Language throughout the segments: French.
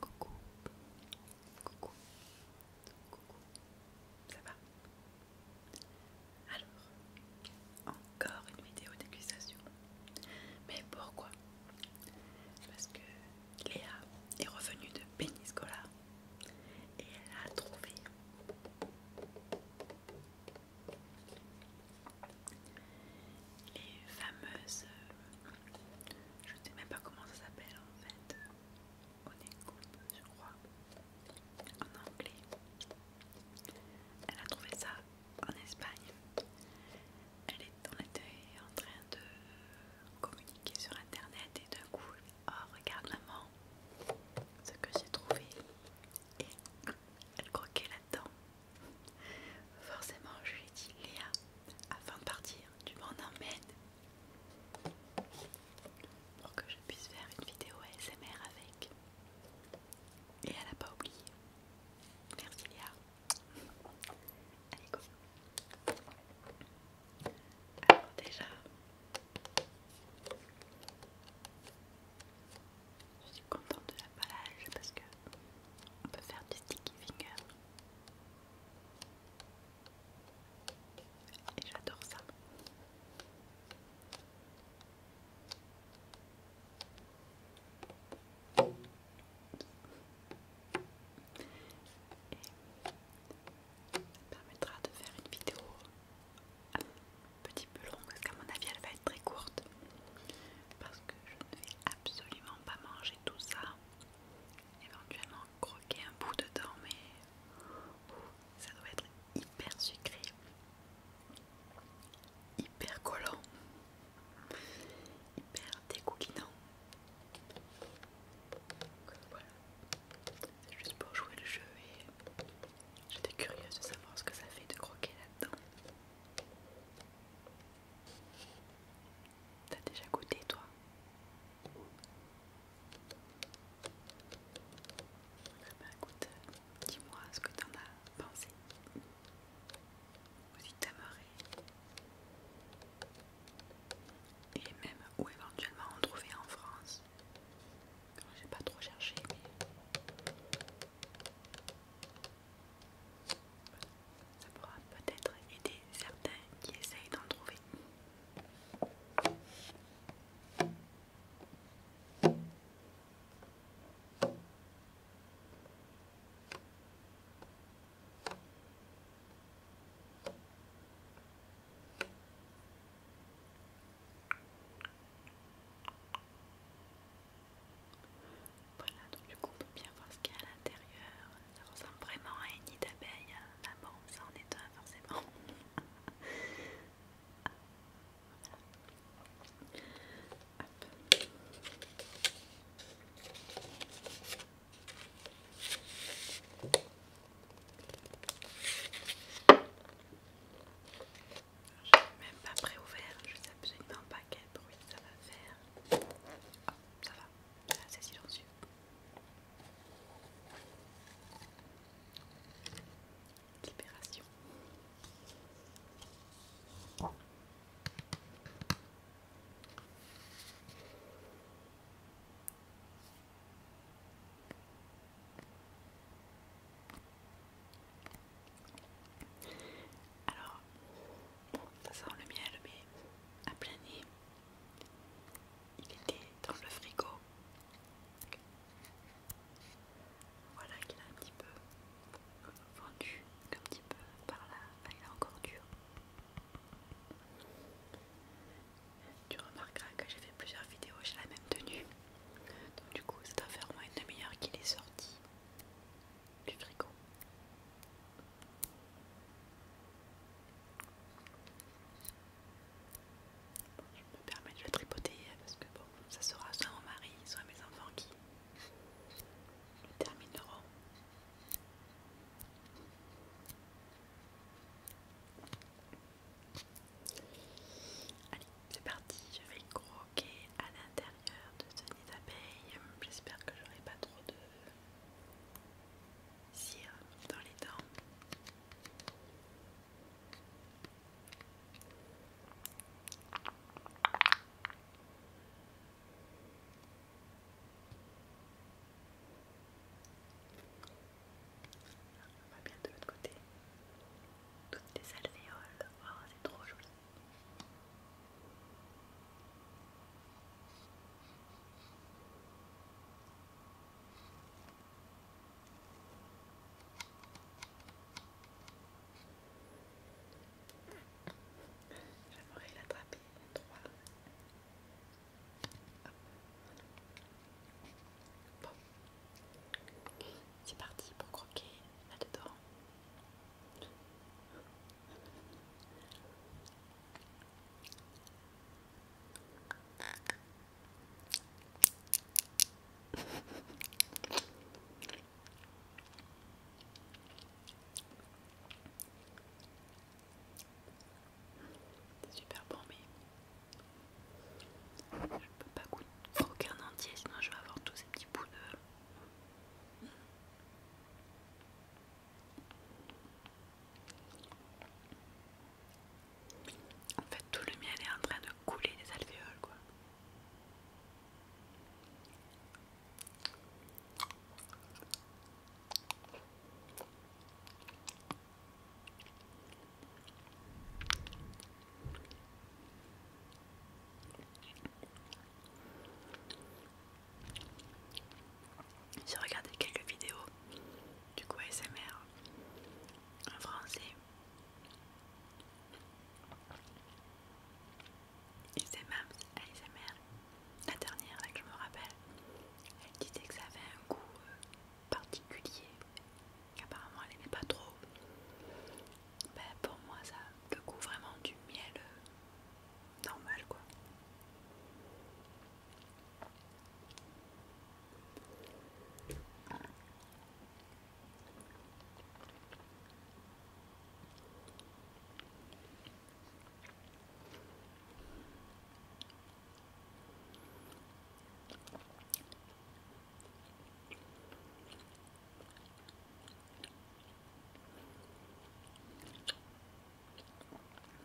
Coucou, coucou, coucou, ça va Alors, encore une vidéo d'accusation. Mais pourquoi Parce que Léa est revenue de Péniscola et elle a trouvé les fameuses, euh, je ne sais même pas comment ça s'appelle en fait, je crois, en anglais. Elle a trouvé ça en Espagne. Elle est, en train de communiquer sur internet et d'un coup, oh regarde maman, ce que j'ai trouvé et elle croquait là-dedans. Forcément, je lui ai dit Léa, afin de partir, tu m'en emmènes pour que je puisse faire une vidéo ASMR avec. Et elle n'a pas oublié. Merci Léa. Allez go. Alors déjà, je suis contente de l'emballage parce que on peut faire du sticky finger. Et j'adore ça. Ça permettra de faire une vidéo un petit peu longue, parce qu'à mon avis elle va être très courte. Parce que je ne vais absolument pas manger tout ça. Éventuellement croquer un bout dedans, mais oh, ça doit être hyper sucré, hyper collant, hyper Donc Voilà. C'est juste pour jouer le jeu et j'étais curieuse de savoir ce que ça fait de croquer là-dedans. T'as déjà goûté toi eh ben, écoute, dis-moi ce que t'en as pensé. Ou y Et même où éventuellement en trouver en France. J'ai pas trop cherché, mais ça pourra peut-être aider certains qui essayent d'en trouver. Voilà, donc du coup on peut bien voir ce qu'il y a à l'intérieur. Ça ressemble vraiment à une nid d'abeille. Hein. Ah bon, ça en est un forcément. Je n'ai même pas préouvert, je sais absolument pas quel bruit ça va faire. Oh, ça va, c'est c'est silencieux. Libération. Alors, bon, ça sent le miel, mais à plein nez, il était dans le frigo. Voilà qu'il a un petit peu vendu, un petit peu par là, il est encore dur. Tu remarqueras que j'ai fait plusieurs vidéos j'ai la même tenue. Donc du coup ça doit faire au moins une demi-heure qu'il est sorti du frigo. je me permets de le tripoter parce que bon, ça sera soit mon mari, soit mes enfants qui le termineront. Allez, c'est parti, je vais croquer à l'intérieur de ce nid d'abeille. J'espère que j'aurai pas trop de cire dans les dents va bien de l'autre côté. Toutes les alvéoles. Oh, c'est trop joli. J'aimerais l'attraper, trois c'est parti pour croquer là-dedans. C'est super bon, mais je peux pas croquer aucun entier, sinon je vais avoir tous ces petits bouts de. En fait, tout le miel est en train de couler des alvéoles, quoi. J'ai regardé quelques vidéos du coup ASMR en français elle les aimait. la dernière que je me rappelle, elle disait que ça avait un goût euh, particulier, apparemment elle n'aimait pas trop. Ben, pour moi ça le goût vraiment du miel euh, normal quoi.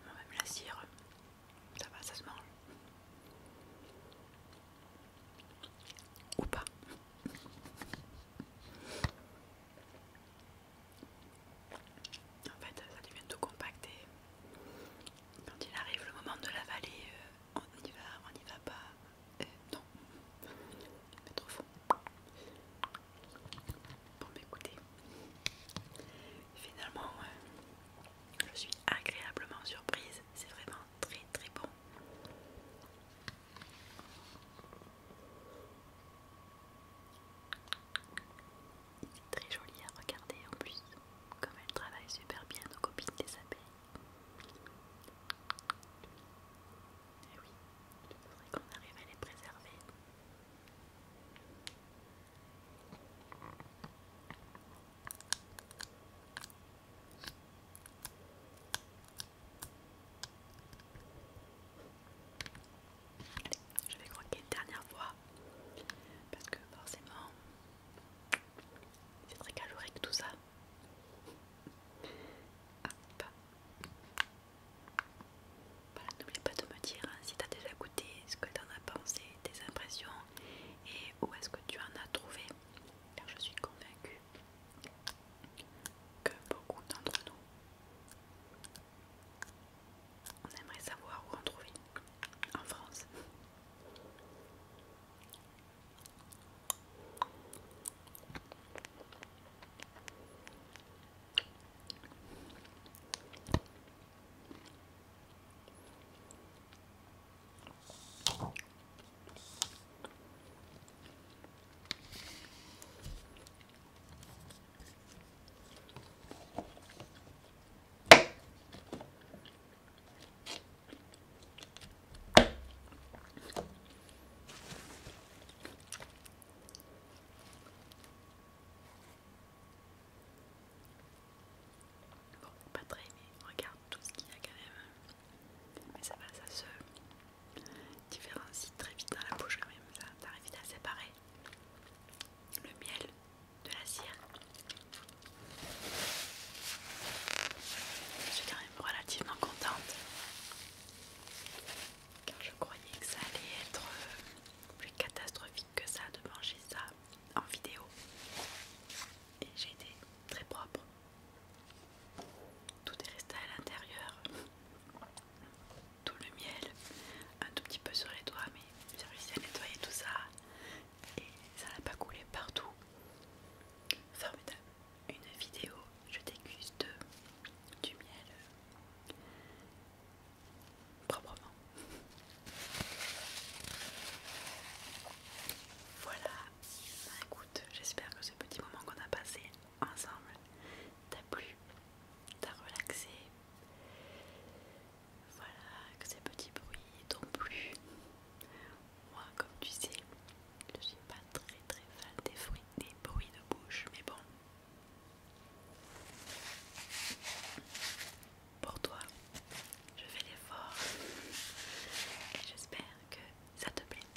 Même la cire, ça va, ça se mange. Ou pas. En fait, ça devient tout compacté. quand il arrive le moment de l'avaler, euh, on y va, on n'y va pas. il euh, non, c'est trop fort. Bon, bah, finalement, euh, je suis agréablement surprise. C'est vraiment très très bon. Très joli à regarder en plus, comme elle travaille super bien nos copines des abeilles. Et eh oui, il faudrait qu'on arrive à les préserver je vais croquer une dernière fois parce que forcément c'est très calorique tout ça. Hop. Voilà, n'oublie pas de me dire hein, si tu as déjà goûté, ce que tu en as pensé, tes impressions et où est-ce que tu en as trouvé. Car je suis convaincue que beaucoup d'entre nous. On aimerait savoir où en trouver en France pas très, mais regarde tout ce qu'il y a quand même. Mais ça va, ça se différencie très vite dans la bouche quand même, ça arrive vite à séparer le miel de la cire. Je suis quand même relativement contente car je croyais que ça allait être euh, plus catastrophique que ça de manger ça en vidéo et j'ai été très propre tout est resté à l'intérieur. Tout le miel, un tout petit peu sur les doigts, mais j'ai réussi à nettoyer tout ça et ça n'a pas coulé partout. Formidable. Une vidéo, je déguste du miel proprement. Voilà, bah, écoute, j'espère que ce petit moment qu'on a passé ensemble t'a plu, t'as relaxé. Voilà, que ces petits bruits t'ont plu. Moi, comme tu sais, je suis pas très très fan des fruits, des bruits de bouche, mais bon. Pour toi, je fais l'effort et j'espère que ça te plaît.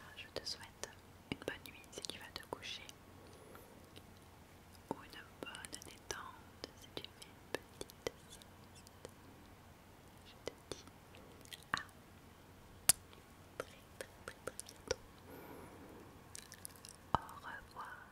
Ah, je te souhaite une bonne nuit si tu vas te coucher ou une bonne détente si tu fais une petite sieste. Je te dis à très très très très bientôt. Au revoir.